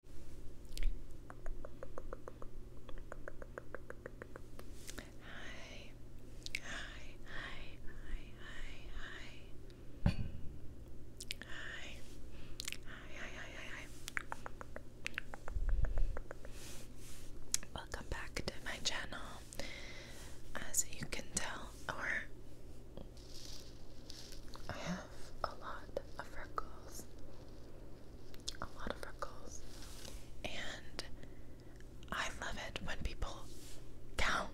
Hi, hi, hi, hi, hi, hi. Hi, hi, hi, hi, hi. Welcome back to my channel. As you can tell, I have a lot of freckles a lot of freckles, and I love it when people count,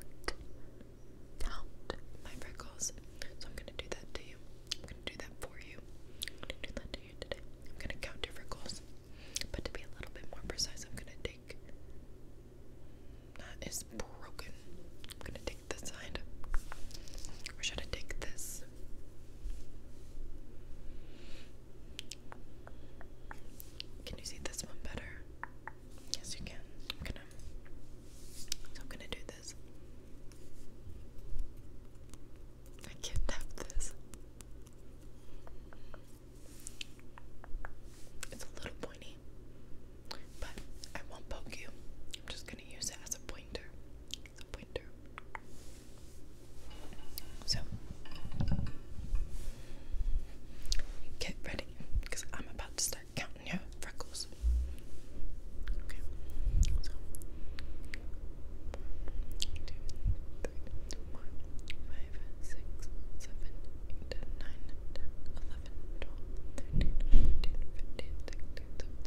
count my freckles. So I'm gonna do that to you. I'm gonna do that for you. I'm gonna do that to you today. I'm gonna count your freckles, but to be a little bit more precise, I'm gonna take that is broken. I'm gonna take this side? Or should I take this? Can you see this one better? Yes, you can. I'm gonna. I'm gonna do this. I can't tap this. It's a little pointy, but I won't poke you. I'm just gonna use it as a pointer. So, get ready because I'm about to start counting your freckles. Okay, so one, two, three, four, five, six, seven, eight, nine, ten, eleven, twelve, thirteen, fourteen, fifteen, sixteen, seventeen,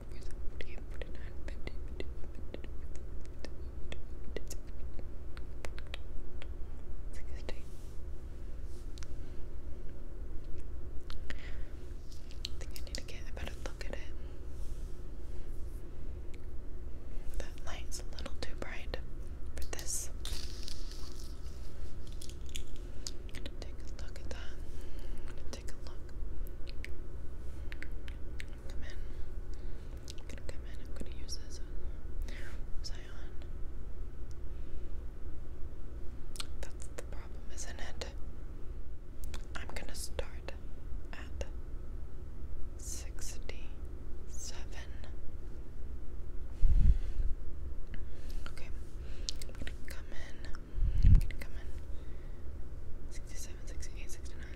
think I need to get a better look at it. That light's a little too bright for this. take a look at that. Come in. I'm gonna come in. I'm gonna use this. What on? That's the problem, isn't it? I'm gonna start at sixty-seven. Okay, come in. I'm gonna come in. 67,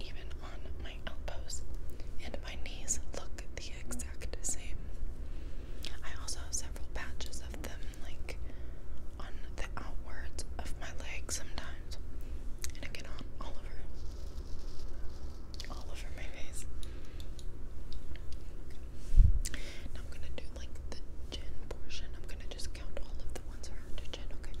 even on my elbows, and my knees look the exact same. I also have several patches of them, like on the outwards of my legs sometimes, and again on all over, all over my face. Now I'm gonna do like the chin portion. I'm gonna just count all of the ones around your chin, okay?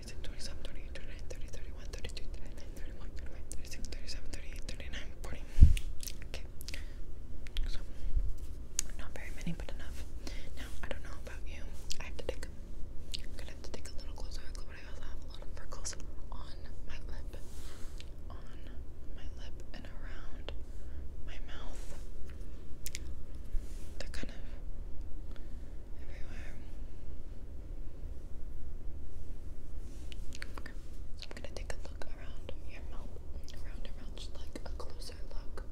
36, 27, Okay. So, not very many, but enough. Now, I don't know about you. I have to take, I'm gonna have to take a little closer I also have a lot of freckles on my lip, on my lip, and around my mouth kind of I'm gonna take a look around your mouth, around your mouth, just like a closer look.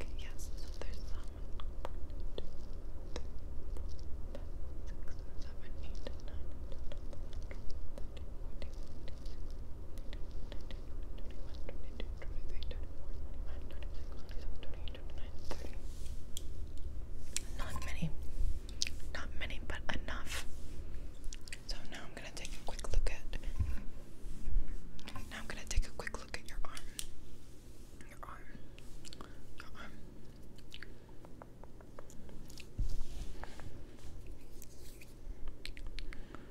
Okay, yes, there's some not many. Not many, but enough. So now I'm gonna take a quick look at now I'm gonna take a quick look at your arm. Your arm.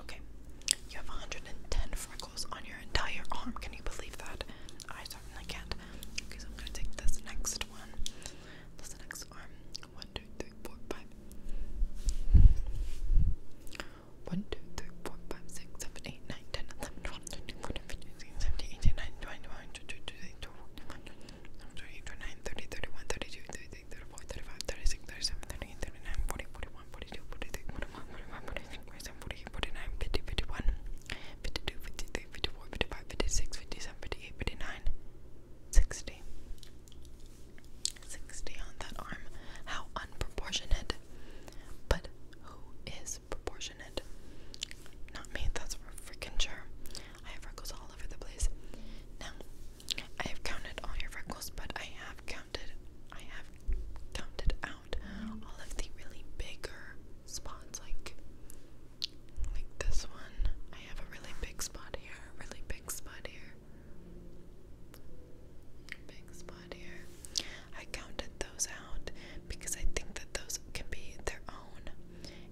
Okay, you have 110 freckles on your entire arm. Can you believe that? I certainly can't. Okay, so I'm gonna take this next one. This next arm. One, two, three, four, five. One, two, three, four, five, six, seven, eight, nine, ten, eleven, twelve, thirteen, fourteen, fifteen, sixteen, seventeen, eighteen, nineteen, twenty, twenty-one, twenty-two, twenty-three, twenty-four, twenty-five, twenty-six, thirty-seven, thirty-eight, thirty-nine, forty, forty. 41, 49, 50, 51, 52, 53, 54, 55, 56, 57, 58, 59, 60. on that arm. How unproportionate. But who is proportionate? Not me, that's for freaking sure. I have freckles all over the place. Now, I have counted all your freckles, but I have counted I have counted out all of the really bigger spots, like like this one. I have a really big spot here, a really big spot here, big spot here. I counted those out because I think that those can be their own,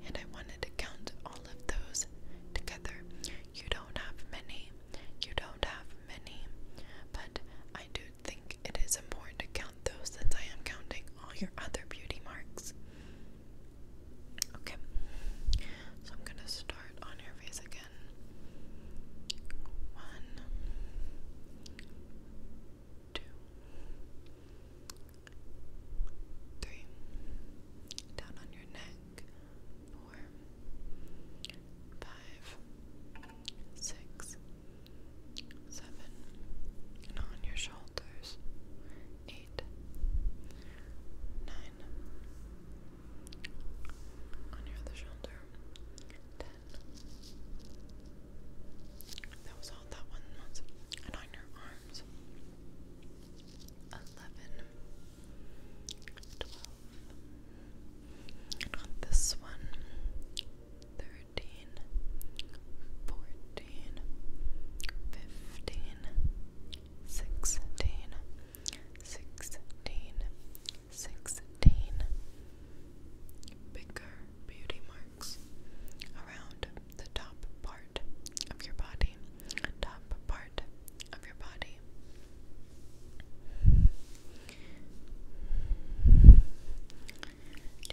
and I wanted to count all of those together. You don't have many. You don't have many, but I do think it is important to count those since I am counting all your other beauty marks. Okay, so I'm gonna start on your face again. One, two, three, down on your neck, four, five, six, seven, and on your shoulders, eight, nine, on your other shoulder, ten. That was all that one was, and on your arms, eleven, twelve this one, bigger beauty marks around the top part of your body, top part of your body. Do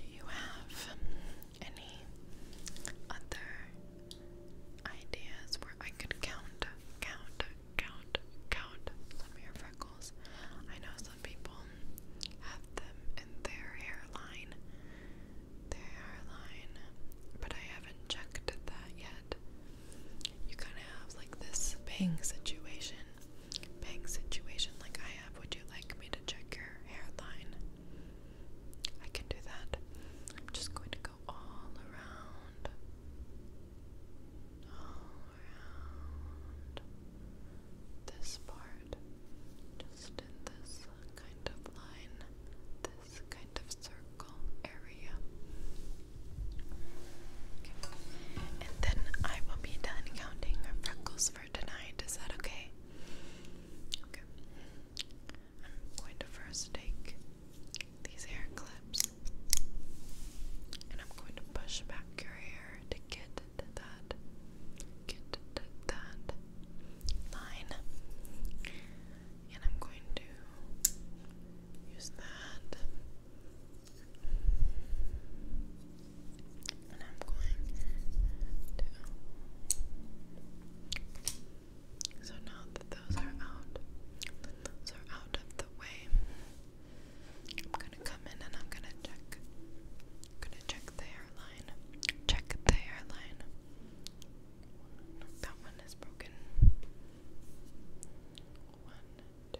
you have any other ideas where I could count, count, count, count some of your freckles? I know some people have them in their hairline, their hairline, but I haven't checked that yet. You kind of have like this bang situation bang situation like I have, would you like me to check your hairline? I can do that. I'm just going to go all around. All around this part. Just in this kind of line. This kind of circle area. And then I will be done counting freckles for tonight. Is that okay? I'm going to first take these hair clips and I'm going to push back your hair to get that, get that line. And I'm going to use that and i So now that those are out, that are out of the way, I'm gonna come in and I'm gonna check. I'm gonna check the hairline. Check the hairline. That one is broken. One, two,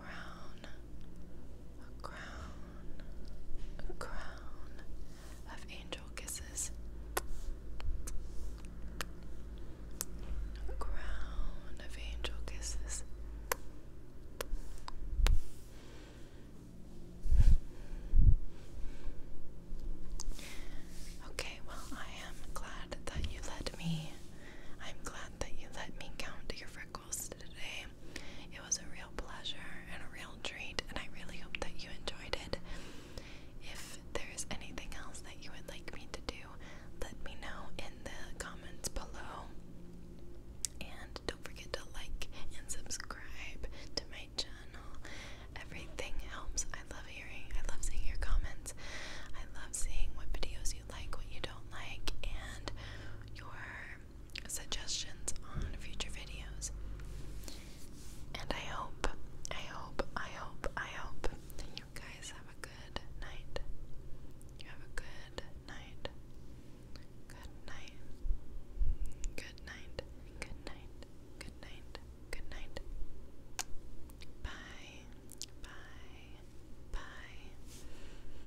crown, a crown, a crown of angel kisses, a crown of angel kisses. Okay, well, I am glad that you let me. I'm glad that you let me count your today. It was a real pleasure and a real treat, and I really hope that you enjoyed it. If there's anything else that you would like me to do, let me know in the comments below. And don't forget to like and subscribe to my channel. Everything helps. I love hearing, I love seeing your comments. I love seeing what videos you like, what you don't like, and your suggestions on future videos. And I hope, I hope, I hope, I hope that you guys have a good night. You have a good night. Good night. Good night. Good night. Good night. Bye. Bye. Bye.